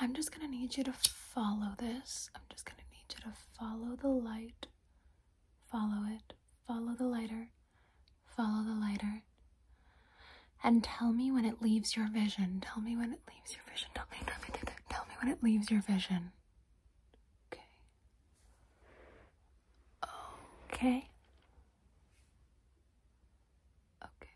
I'm just gonna need you to follow this. I'm just gonna need you to follow the light. Follow it. Follow the lighter. Follow the lighter. And tell me when it leaves your vision. Tell me when it leaves your vision. Tell me, tell me, tell me, when it leaves your vision. Okay. Okay. Okay.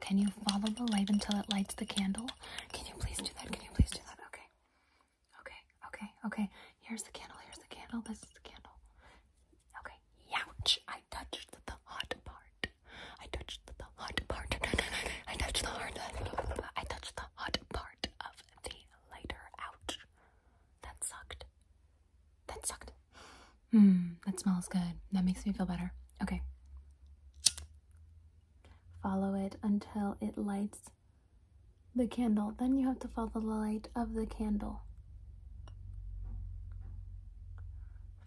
can you follow the light until it lights the candle? Can you please do that? Can you please do that? Okay. Okay. Okay. Okay. Here's the candle. Here's the candle. This is the candle. Okay. Ouch. I touched the hot part. I touched the hot part. I touched the hard I touched the hot part of the lighter. Ouch. That sucked. That sucked. Hmm, that smells good. That makes me feel better. Okay. Follow it until it lights the candle. Then you have to follow the light of the candle.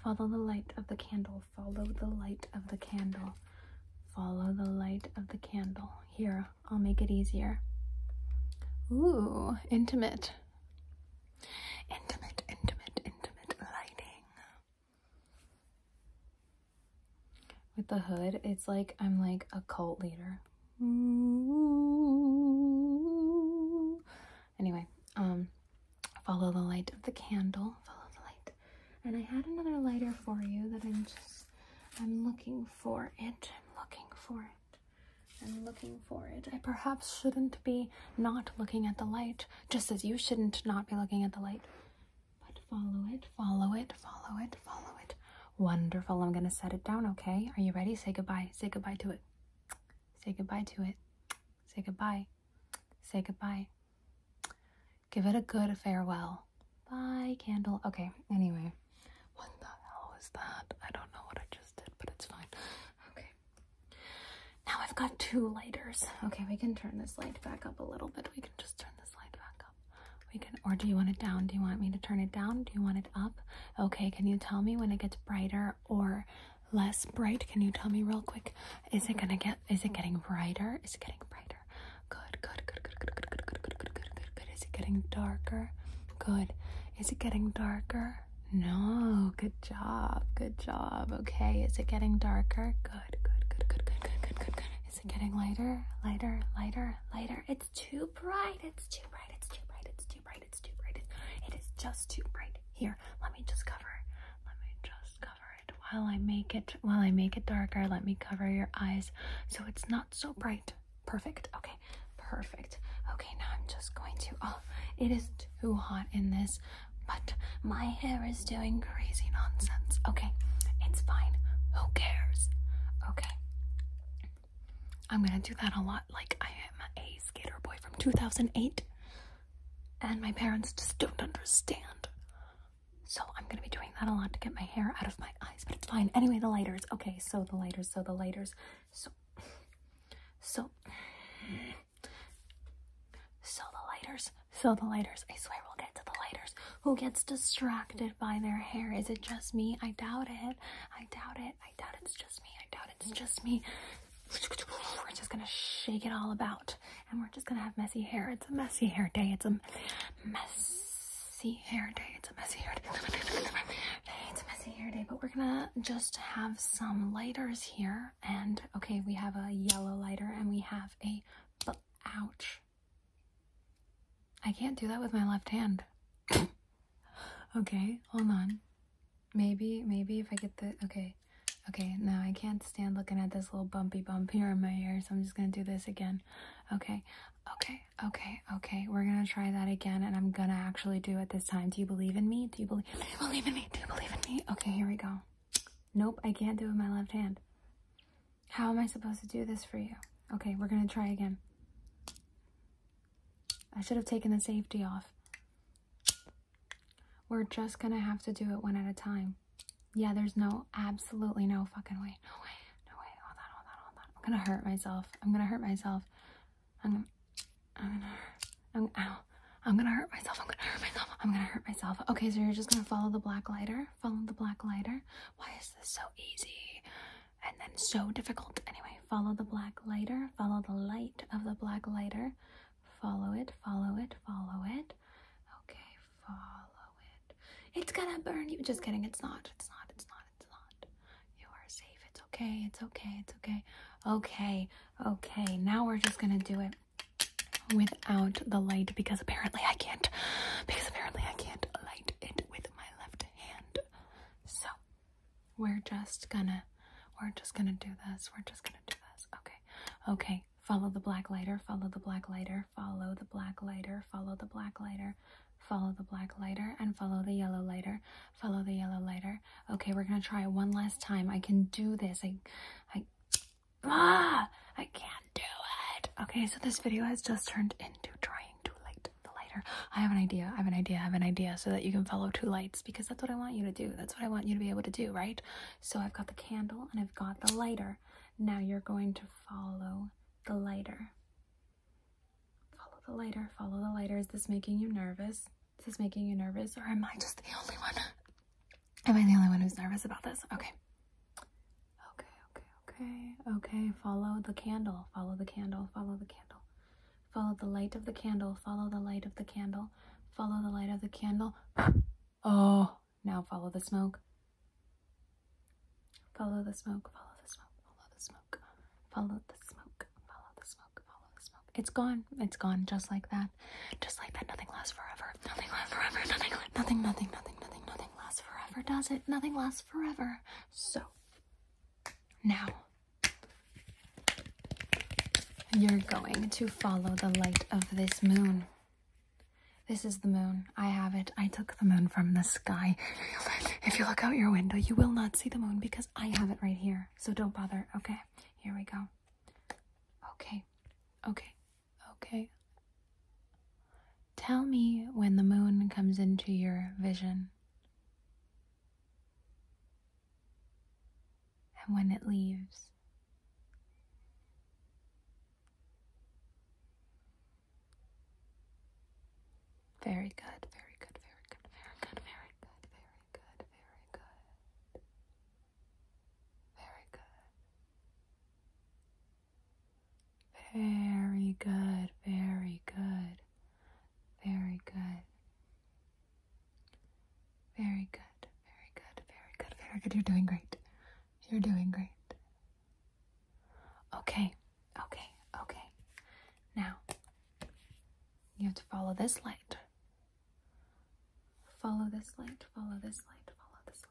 Follow the light of the candle. Follow the light of the candle. Follow the light of the candle. Here, I'll make it easier. Ooh, intimate. Intimate, intimate, intimate lighting. With the hood, it's like I'm like a cult leader. Anyway, um, follow the light of the candle. Follow the light. And I had another lighter for you that I'm just, I'm looking for it. I'm looking for it. I'm looking for it. I perhaps shouldn't be not looking at the light just as you shouldn't not be looking at the light. But follow it, follow it, follow it, follow it. Wonderful. I'm going to set it down, okay? Are you ready? Say goodbye. Say goodbye to it. Say goodbye to it. Say goodbye. Say goodbye. Give it a good farewell. Bye, candle. Okay, anyway. What the hell is that? I don't know what I just did, but it's fine. Okay. Now I've got two lighters. Okay, we can turn this light back up a little bit. We can just turn this light back up. We can, or do you want it down? Do you want me to turn it down? Do you want it up? Okay, can you tell me when it gets brighter or less bright? Can you tell me real quick? Is it gonna get, is it getting brighter? Is it getting brighter? Good, good, good, good, good, good, good, good, good, good, good, good, good. Is it getting darker? Good. Is it getting darker? No, good Good job. Good job. Okay. Is it getting darker? Good, good, good, good, good, good, good, good, good. Is it getting lighter? Lighter, lighter, lighter. It's too bright. It's too bright. It's too bright. It's too bright. It's too bright. It is just too bright. Here, let me just cover. Let me just cover it while I make it while I make it darker. Let me cover your eyes so it's not so bright. Perfect. Okay. Perfect. Okay, now I'm just going to oh, it is too hot in this but my hair is doing crazy nonsense. Okay, it's fine. Who cares? Okay. I'm gonna do that a lot. Like, I am a skater boy from 2008, and my parents just don't understand. So, I'm gonna be doing that a lot to get my hair out of my eyes, but it's fine. Anyway, the lighters. Okay, so the lighters, so the lighters. So, so. So the lighters, so the lighters. I swear we'll get to the lighters. Who gets distracted by their hair? Is it just me? I doubt it. I doubt it. I doubt it's just me. I doubt it's just me. We're just gonna shake it all about and we're just gonna have messy hair. It's a messy hair day. It's a messy hair day. It's a messy hair day. It's a messy hair day, but we're gonna just have some lighters here and okay we have a yellow lighter and we have a ouch i can't do that with my left hand okay hold on maybe maybe if i get the okay okay now i can't stand looking at this little bumpy bump here in my ear so i'm just gonna do this again okay okay okay okay we're gonna try that again and i'm gonna actually do it this time do you believe in me do you believe do you believe in me do you believe in me okay here we go Nope, I can't do it with my left hand. How am I supposed to do this for you? Okay, we're gonna try again. I should have taken the safety off. We're just gonna have to do it one at a time. Yeah, there's no, absolutely no fucking way. No way, no way, hold on, hold on, hold on. I'm gonna hurt myself. I'm gonna hurt myself. I'm gonna, I'm gonna, I'm, ow. I'm gonna hurt myself. I'm gonna hurt myself. I'm gonna hurt myself. Okay, so you're just gonna follow the black lighter. Follow the black lighter. Why is this so easy and then so difficult? Anyway, follow the black lighter. Follow the light of the black lighter. Follow it, follow it, follow it. Okay, follow it. It's gonna burn you. Just kidding. It's not. It's not. It's not. It's not. You are safe. It's okay. It's okay. It's okay. Okay. Okay. Now we're just gonna do it without the light because apparently I can't because apparently I can't light it with my left hand. So we're just gonna we're just gonna do this. We're just gonna do this. Okay. Okay. Follow the black lighter, follow the black lighter, follow the black lighter, follow the black lighter, follow the black lighter, and follow the yellow lighter, follow the yellow lighter. Okay, we're gonna try one last time. I can do this. I I Ah, I can't do it. Okay, so this video has just turned into trying to light the lighter. I have an idea, I have an idea, I have an idea so that you can follow two lights because that's what I want you to do. That's what I want you to be able to do, right? So I've got the candle and I've got the lighter. Now you're going to follow the lighter. Follow the lighter, follow the lighter. Is this making you nervous? Is this making you nervous or am I just the only one? Am I the only one who's nervous about this? Okay. Okay, okay, okay, okay. Follow the candle, follow the candle, follow the candle. Follow the light of the candle, follow the light of the candle, follow the light of the candle. oh, now follow the smoke. Follow the smoke, follow the smoke, follow the smoke, follow the smoke, follow the smoke, follow the smoke. It's gone, it's gone just like that. Just like that, nothing lasts forever. Nothing lasts forever. Nothing, nothing, nothing, nothing, nothing, nothing lasts forever, does it? Nothing lasts forever. So, now, you're going to follow the light of this moon. This is the moon. I have it. I took the moon from the sky. If you look out your window, you will not see the moon because I have it right here. So don't bother, okay? Here we go. Okay, okay, Okay. Tell me when the moon comes into your vision and when it leaves. Very good, very good, very good, very good, very good, very good, very good. Very good. Very good. Very good. Very good. Very good. Very good. Very good. Very good. You're doing great. You're doing great. Okay. Okay. Okay. Now, you have to follow this light. Follow this light. Follow this light. Follow this light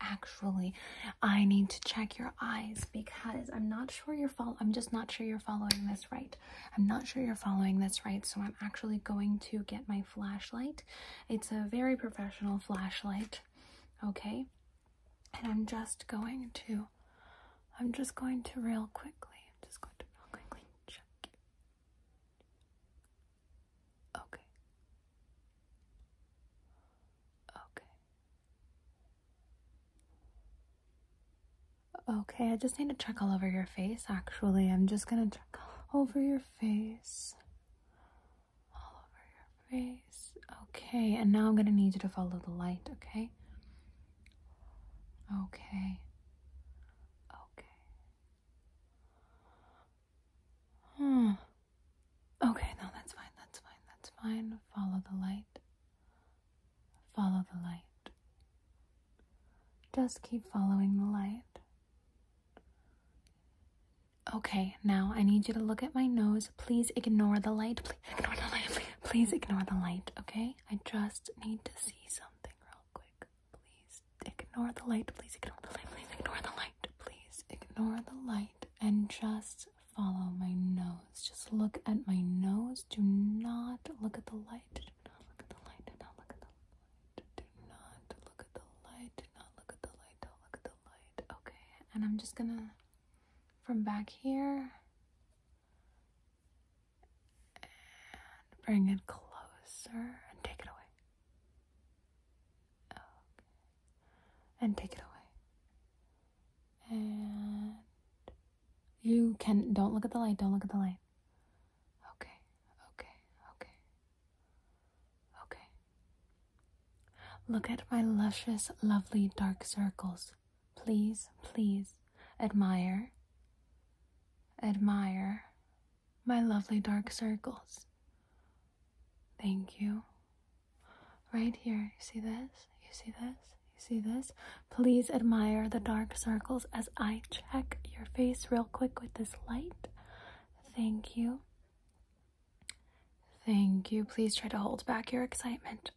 actually I need to check your eyes because I'm not sure you're follow I'm just not sure you're following this right. I'm not sure you're following this right, so I'm actually going to get my flashlight. It's a very professional flashlight, okay? And I'm just going to I'm just going to real quickly. I'm just going to real quickly check Okay. Okay. Okay, I just need to check all over your face. Actually, I'm just gonna check over your face. All over your face. Okay, and now I'm gonna need you to follow the light, okay? Okay. Okay. Hmm. Okay, now that's fine, that's fine, that's fine. Follow the light. Follow the light. Just keep following the light. Okay, now I need you to look at my nose. Please ignore the light. Please ignore the light. please ignore the light, okay? I just need to see something real quick. Please ignore the light. Please ignore the light. Please ignore the light. Please ignore the light and just follow my nose. Just look at my nose. Do not look at the light. Do not look at the light. Do not look at the light. Do not look at the light. Do not look at the light. Okay, and I'm just gonna from back here and bring it closer and take it away. And take it away. And you can don't look at the light, don't look at the light. Okay, okay, okay. Okay. Look at my luscious, lovely dark circles. Please, please admire. Admire my lovely dark circles. Thank you. Right here, you see this? You see this? You see this? Please admire the dark circles as I check your face real quick with this light. Thank you. Thank you. Please try to hold back your excitement.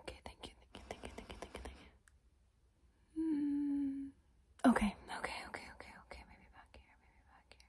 Okay, thank you, thank you, thank you, thank you, thank you. Hmm. Okay, okay, okay, okay, okay. Maybe back here, maybe back here.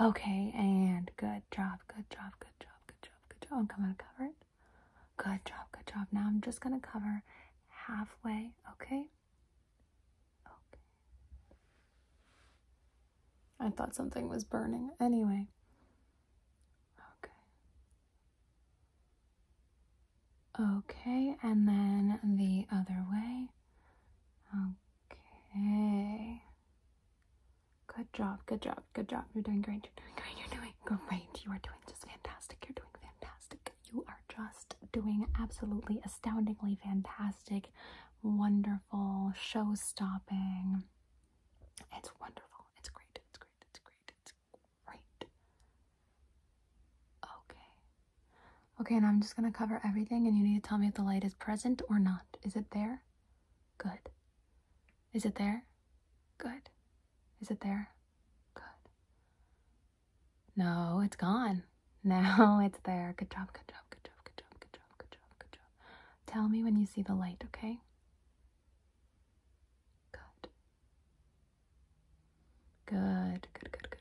Okay, and good job, good job, good job, good job, good job. I'm going to cover it. Good job, good job. Now I'm just gonna cover halfway, okay? Okay. I thought something was burning. Anyway. Okay. Okay, and then the other way. Okay. Good job, good job, good job. You're doing great, you're doing great, you're doing great. You are doing just fantastic, you're doing fantastic. You are just doing absolutely astoundingly fantastic, wonderful, show stopping. It's wonderful, it's great, it's great, it's great, it's great. Okay. Okay, and I'm just gonna cover everything and you need to tell me if the light is present or not. Is it there? Good. Is it there? Good. Is it there? Good. No, it's gone. Now it's there. Good job, good job, good job, good job, good job, good job, good job. Tell me when you see the light, okay? Good. Good, good, good, good.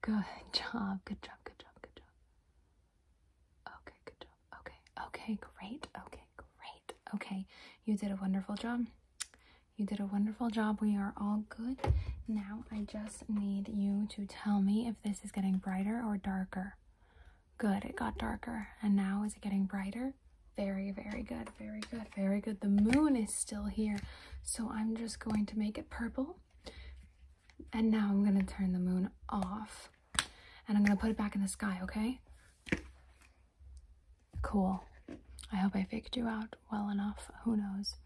Good job. Good job. Good job. Good job. Okay, good job. Okay. Okay, great. Okay, great. Okay. You did a wonderful job. You did a wonderful job. We are all good. Now I just need you to tell me if this is getting brighter or darker. Good, it got darker. And now is it getting brighter? Very, very good, very good, very good. The moon is still here. So I'm just going to make it purple and now I'm gonna turn the moon off and I'm gonna put it back in the sky, okay? Cool. I hope I faked you out well enough. Who knows?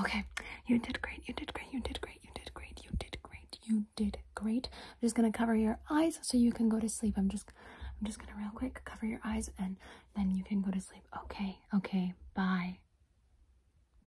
Okay, you did great, you did great, you did great, you did great, you did great, you did great. I'm just gonna cover your eyes so you can go to sleep. I'm just I'm just gonna real quick cover your eyes and then you can go to sleep. Okay, okay, bye.